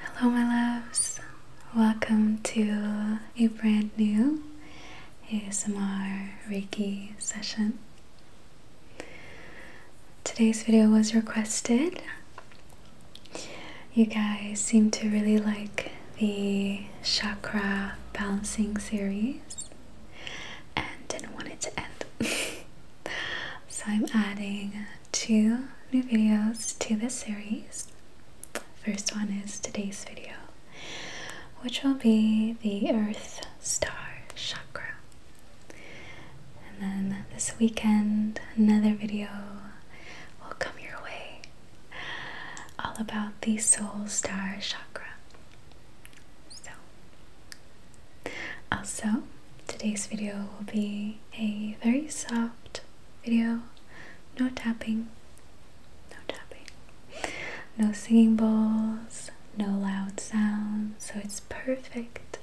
Hello, my loves. Welcome to a brand new ASMR Reiki session. Today's video was requested. You guys seem to really like the chakra balancing series and didn't want it to end. so I'm adding two new videos to this series. First one is today's video, which will be the Earth Star Chakra. And then this weekend, another video will come your way all about the Soul Star Chakra. So, also, uh, today's video will be a very soft video. No tapping, no tapping, no singing bowls, no loud sounds, so it's perfect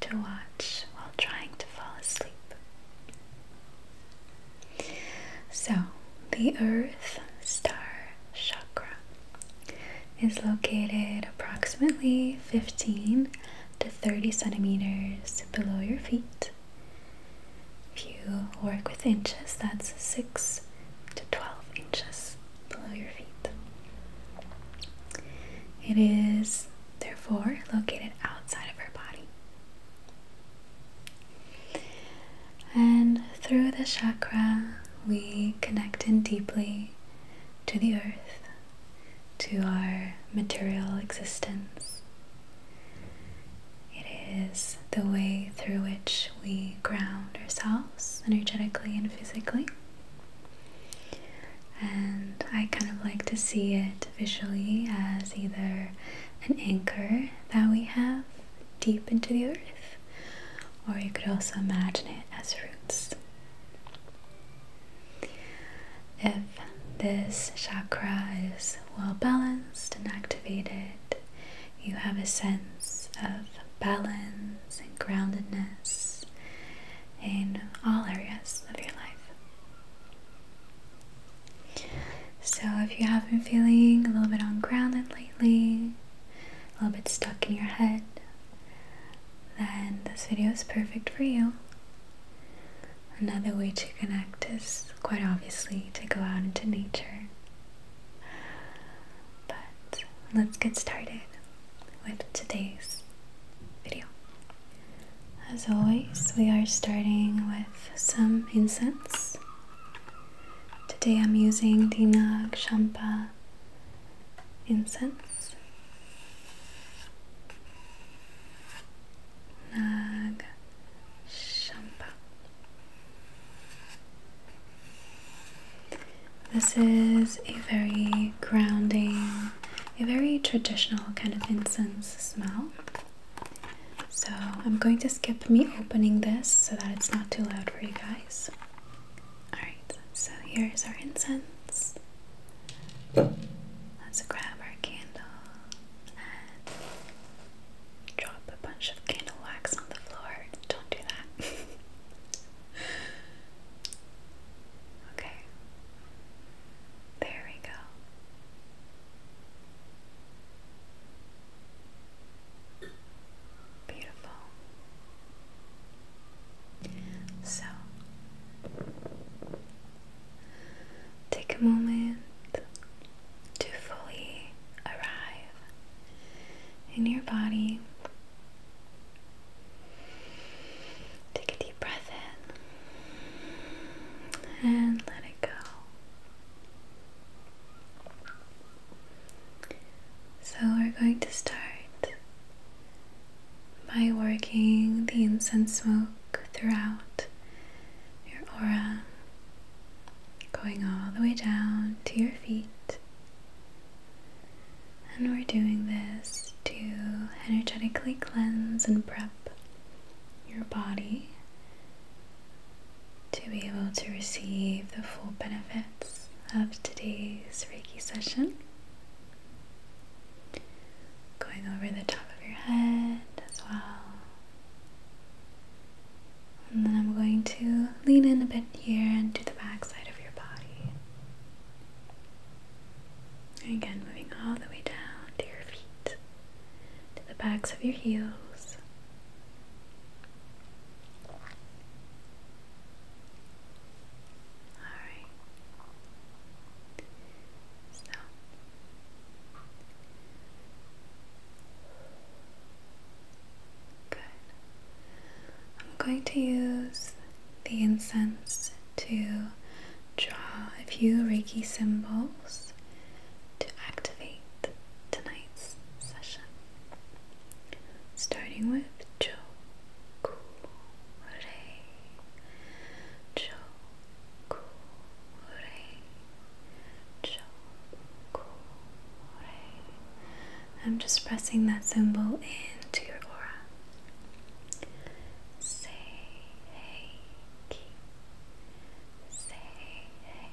to watch while trying to fall asleep. So, the Earth Star Chakra is located approximately 15 to 30 centimeters below your feet. If you work with inches, that's 6 to 12 inches below your feet. It is therefore located outside of our body. And through the chakra, we connect in deeply to the earth, to our material existence. It is the way through which we ground ourselves energetically and physically. And I kind of like to see it visually as either an anchor that we have deep into the earth, or you could also imagine it as roots. If this chakra is well balanced and activated, you have a sense of balance and groundedness in all areas of your life. So, if you have been feeling a little bit ungrounded lately, a little bit stuck in your head, then this video is perfect for you. Another way to connect is quite obviously to go out into nature. But let's get started with today's video. As always, we are starting with some incense. Today I'm using the Nag Shampa incense. Nag Shampa. This is a very grounding, a very traditional kind of incense smell. So I'm going to skip me opening this so that it's not too loud for you guys. Alright, so here's our incense. Let's grab our candle and drop a bunch of candle wax on the floor. Don't do that. okay. There we go. Beautiful. So, take a moment to fully arrive in your body. Take a deep breath in and let it go. So, we're going to start by working the incense smoke throughout your aura, going all the way down to your feet. And we're doing this to energetically cleanse and prep your body to be able to receive the full benefits of today's Reiki session. Going over the top of your head as well. And then I'm going to lean in a bit here and do the back side of your body. And again, moving all the way down to your feet, to the backs of your heels. Alright. So good. I'm going to use the incense to draw a few Reiki symbols to activate tonight's session. Starting with Joku, I'm just pressing that symbol into your aura. Say hey ki say hey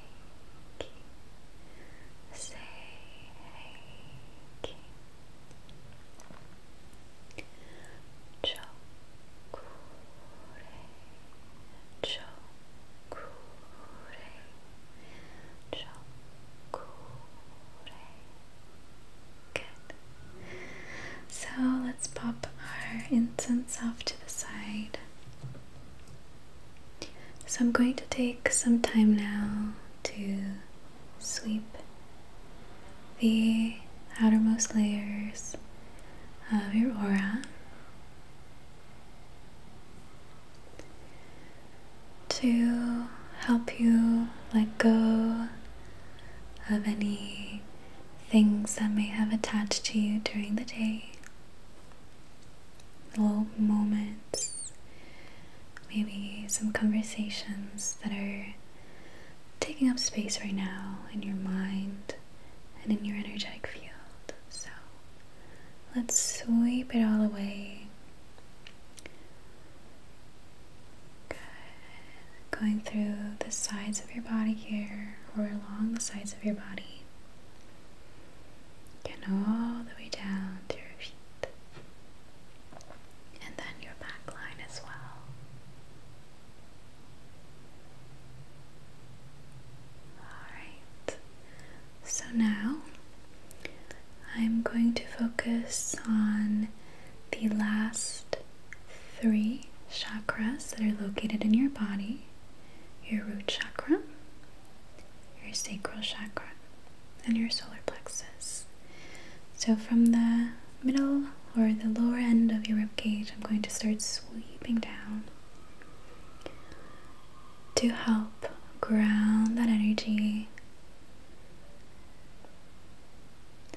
ki say hey ki so let's pop our incense off to the side. So I'm going to take some time now to sweep the outermost layers of your aura to help you let go of any things that may have attached to you during the day, little moments maybe some conversations that are taking up space right now in your mind and in your energetic field. So let's sweep it all away. Good. Going through the sides of your body here, or along the sides of your body. Again, all the way down to your feet and then your back line as well. Alright, so now I'm going to focus on the last three chakras that are located in your body your root chakra, your sacral chakra, and your solar plexus. So, from the middle or the lower end of your rib cage, I'm going to start sweeping down to help ground that energy.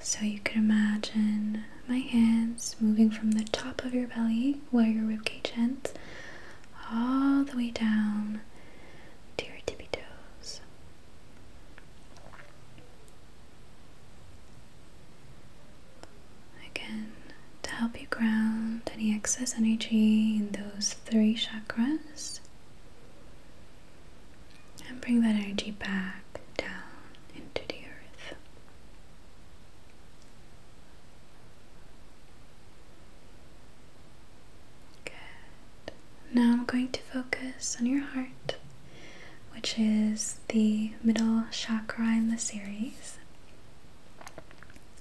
So, you could imagine my hands moving from the top of your belly, where your rib cage ends, all the way down to your tippy toes. Again, to help you ground any excess energy in those three chakras and bring that energy back down into the earth. Now I'm going to focus on your heart, which is the middle chakra in the series.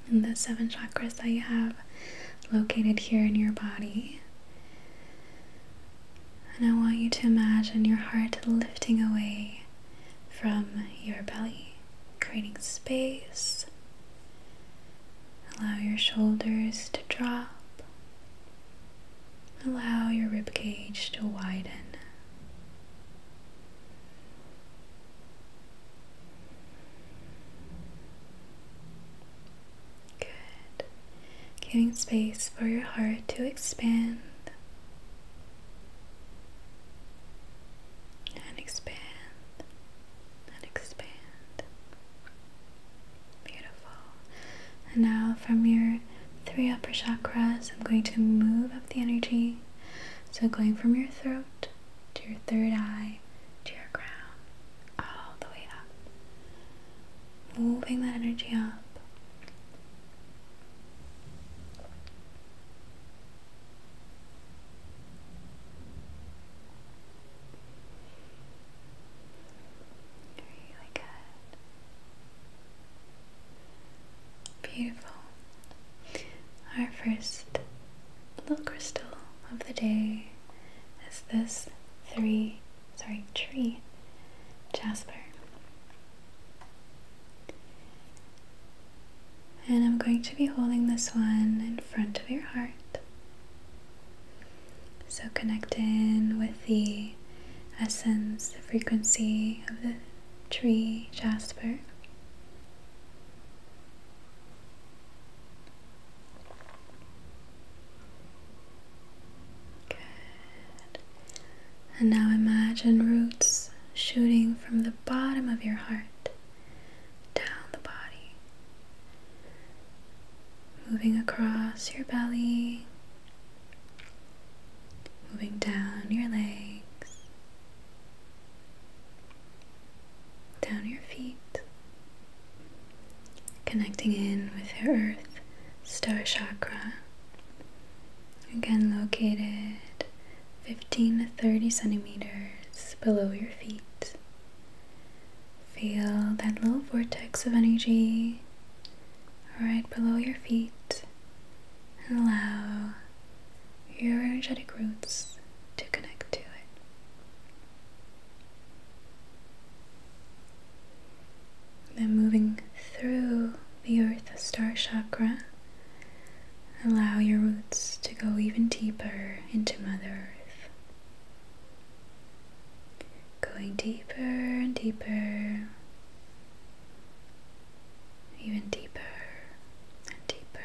And the seven chakras that you have located here in your body. And I want you to imagine your heart lifting away from your belly, creating space Allow your shoulders to drop. Allow your rib cage to widen. Good. Giving space for your heart to expand. And expand and expand. Beautiful. And now from your three upper chakras, I'm going to move up the energy. So going from your throat to your third eye to your crown, all the way up. Moving that energy up. Beautiful. Our first little crystal of the day is this three sorry tree jasper. And I'm going to be holding this one in front of your heart. So, connect in with the essence, the frequency of the tree jasper. Good. And now imagine roots shooting from the bottom of your heart down the body, moving across your belly, moving down your legs, down your feet, connecting in with your earth star chakra. Again, located 15 to 30 centimeters below your feet. Feel that little vortex of energy right below your feet and allow your energetic roots to connect to it. Then moving through the earth star chakra, allow your roots to go even deeper into Mother Earth. Going deeper and deeper, even deeper and deeper.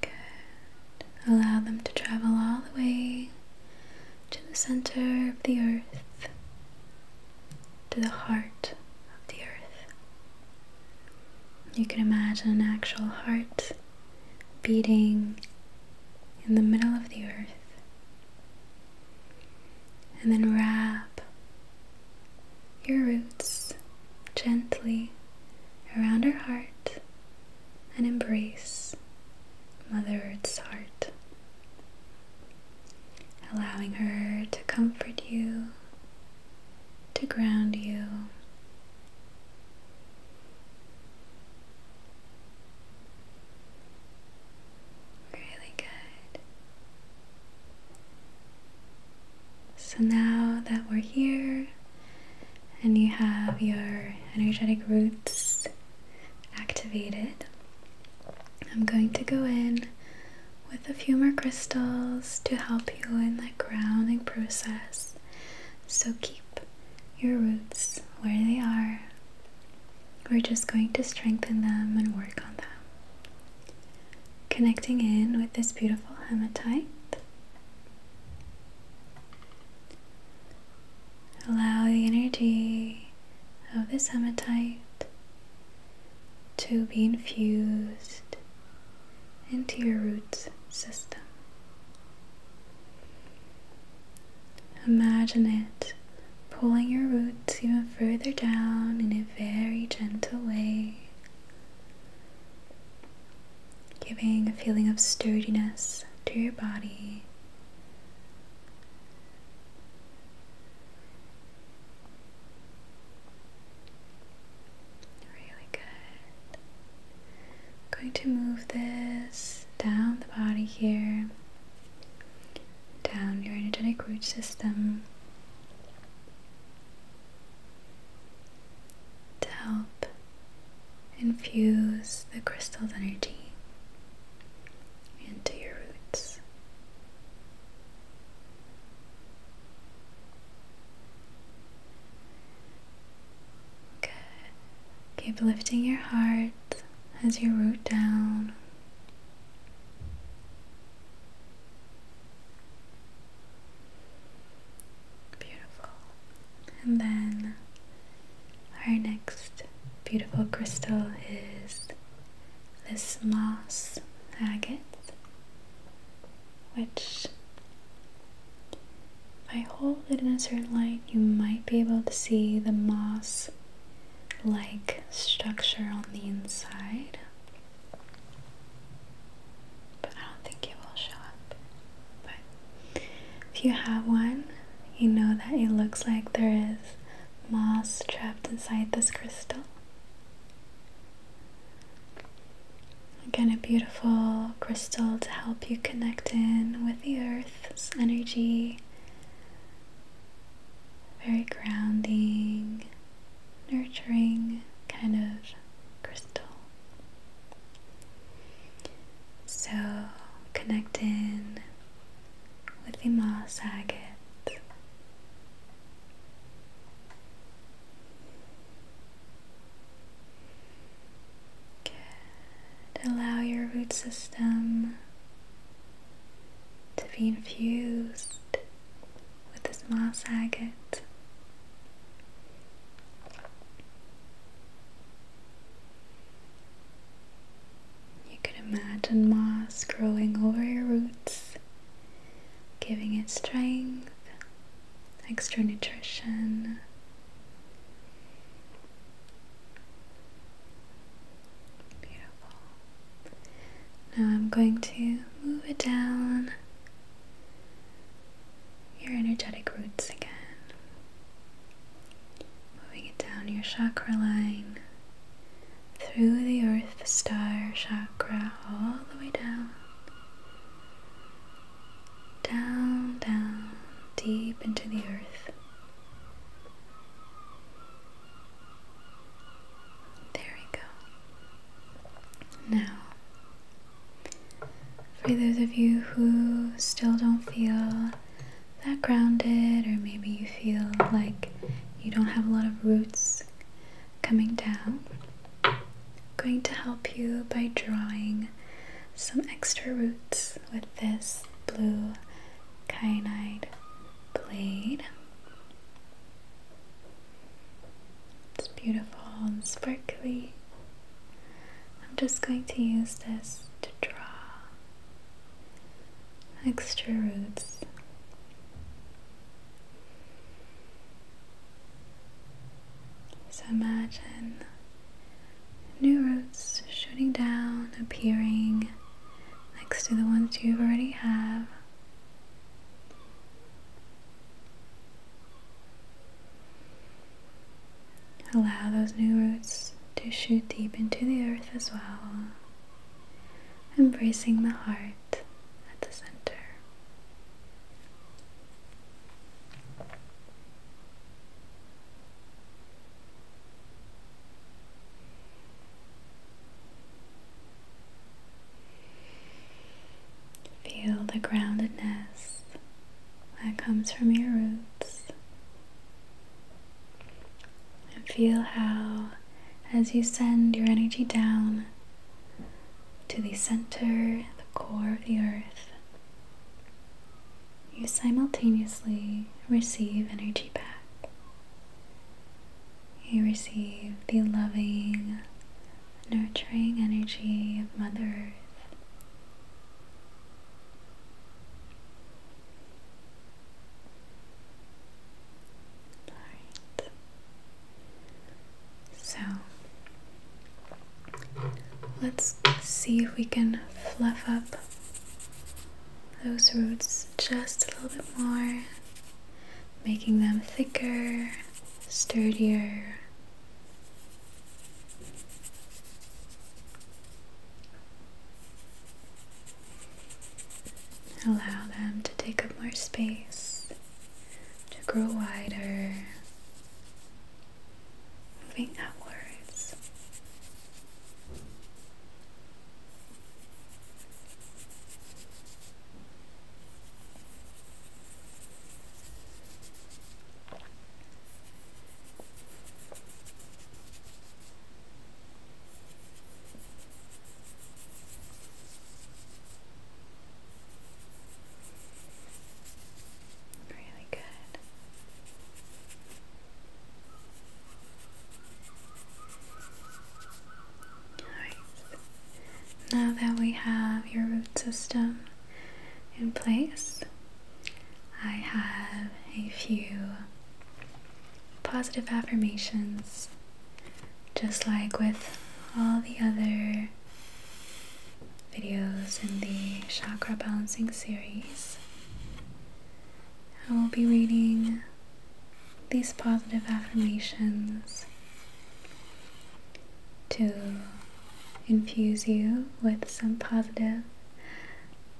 Good. Allow them to travel all the way to the center of the earth to the heart of the earth. You can imagine an actual heart beating in the middle of the earth. And then wrap your roots gently around her heart and embrace Mother Earth's heart, allowing her to comfort you to ground you. Really good. So now that we're here and you have your energetic roots activated, I'm going to go in with a few more crystals to help you in that grounding process. So keep your roots where they are. We're just going to strengthen them and work on them. Connecting in with this beautiful hematite. Allow the energy of this hematite to be infused into your root system. Imagine it pulling your roots even further down in a very gentle way, giving a feeling of sturdiness to your body. Really good. I'm going to move this down the body here, down your energetic root system to help infuse the crystal's energy into your roots. Good. Keep lifting your heart as you root down. Beautiful. And then our next beautiful crystal is this moss agate which if I hold it in a certain light, you might be able to see the moss like structure on the inside. But I don't think it will show up. But if you have one, you know that it looks like there is moss trapped inside this crystal. Again, a beautiful crystal to help you connect in with the earth's energy. Very grounding, nurturing kind of crystal. So, connect in with the moss agate. Good. Allow your root system to be infused with this moss agate. You could imagine moss growing over your roots giving it strength, extra nutrition. Now I'm going to move it down your energetic roots again. Moving it down your chakra line, through the earth star chakra all the way down. Down, down, deep into the earth. There we go. Now, for those of you who still don't feel that grounded, or maybe you feel like you don't have a lot of roots coming down. going to help you by drawing some extra roots with this blue kyanide blade. It's beautiful and sparkly. I'm just going to use this to draw extra roots so imagine new roots shooting down, appearing next to the ones you already have. Allow those new roots to shoot deep into the earth as well, embracing the heart at the center. Feel the groundedness that comes from your roots, and feel how as you send your energy down to the center, the core of the earth. You simultaneously receive energy back. You receive the loving, nurturing energy of Mother Earth. All right. So let's see if we can fluff up those roots just a little bit more, making them thicker, sturdier. Allow them to take up more space, to grow wider, moving outwards. Really good. Alright, now that we have your root system in place, I have a few positive affirmations just like with all the other videos in the chakra balancing series. I will be reading these positive affirmations to infuse you with some positive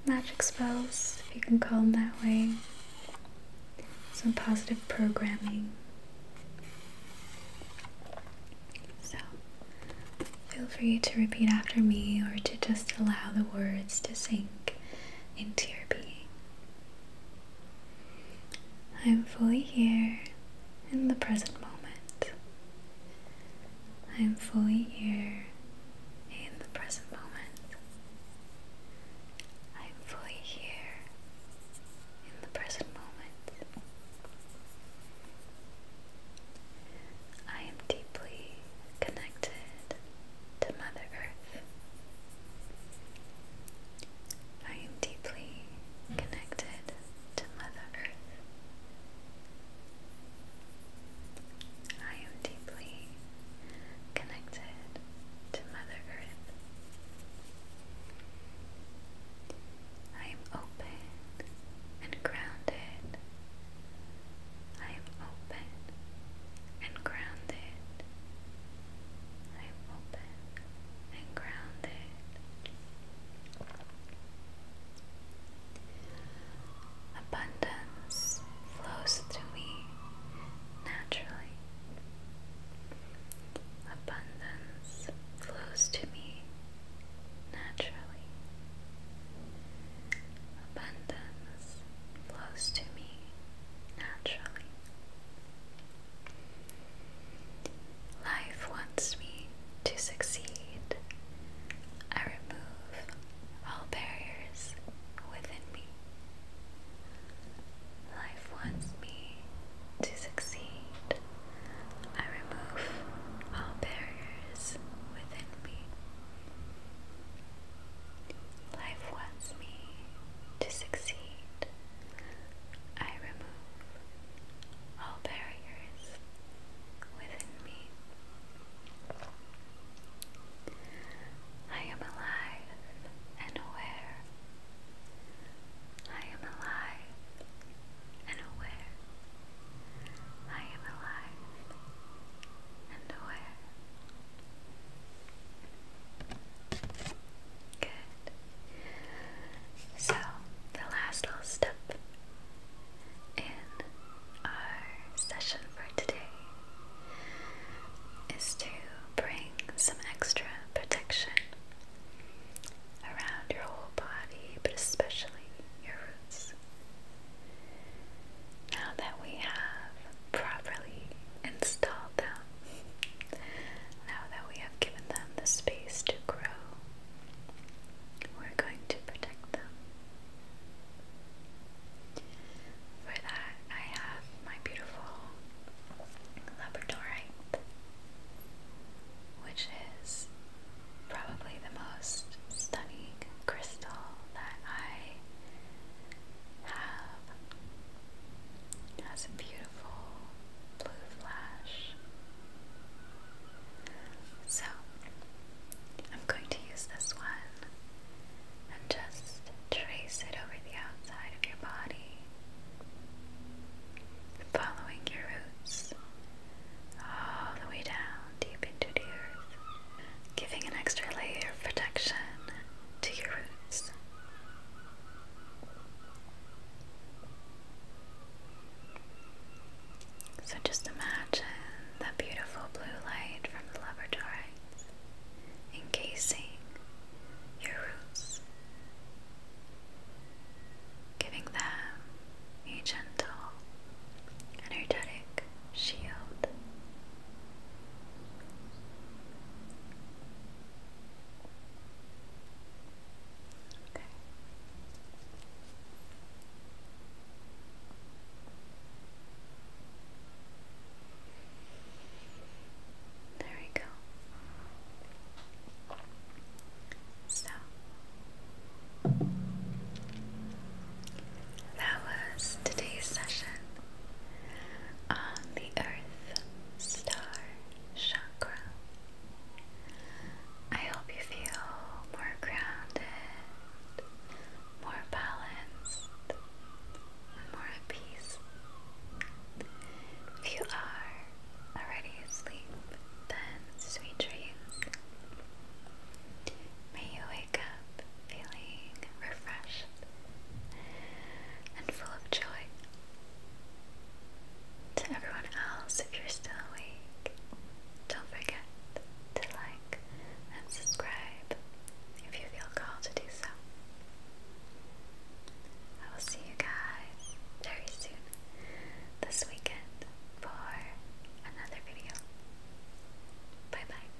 magic spells, if you can call them that way some positive programming. So feel free to repeat after me or to just allow the words to sink into your being. I'm fully here in the present moment. I'm fully here in the present moment. I'm fully here in the present moment. I am deeply connected to Mother Earth. I am deeply connected to Mother Earth. I am deeply connected to Mother Earth. I am open and grounded. I am open and grounded. I am open and grounded. Abundance flows through me naturally. Abundance flows to me naturally. Abundance flows to me naturally. Life wants me to succeed. I remove all barriers within me. Life wants me to succeed. I remove all barriers within me. Life wants me to succeed. I remove all barriers within me. I am alive and aware I am alive and aware. I am alive and aware. Good. So, the last little step in our session for today is to bring some extra protection around your whole body, but especially your roots. Now that we have properly installed them, now that we have given them the space to grow, we're going to protect them. For that, I have my beautiful labradorite, which is probably the most stunning crystal that I have. It has a beautiful blue flash. So, I'm going to use this one and just trace it over the outside of your body, following your roots all the way down deep into the earth, giving an extra layer of protection to your roots. So just imagine that beautiful blue light from the laboratory encasing your roots, giving them a gentle, energetic shield. Okay. There we go. So that was today's session on the Earth Star Chakra. I hope you feel more grounded, more balanced, more at peace. If you are already asleep, then sweet dreams. May you wake up feeling refreshed and full of joy. To everyone else, if you're still awake, don't forget to like and subscribe if you feel called to do so. I will see you guys very soon this weekend for another video. Bye bye.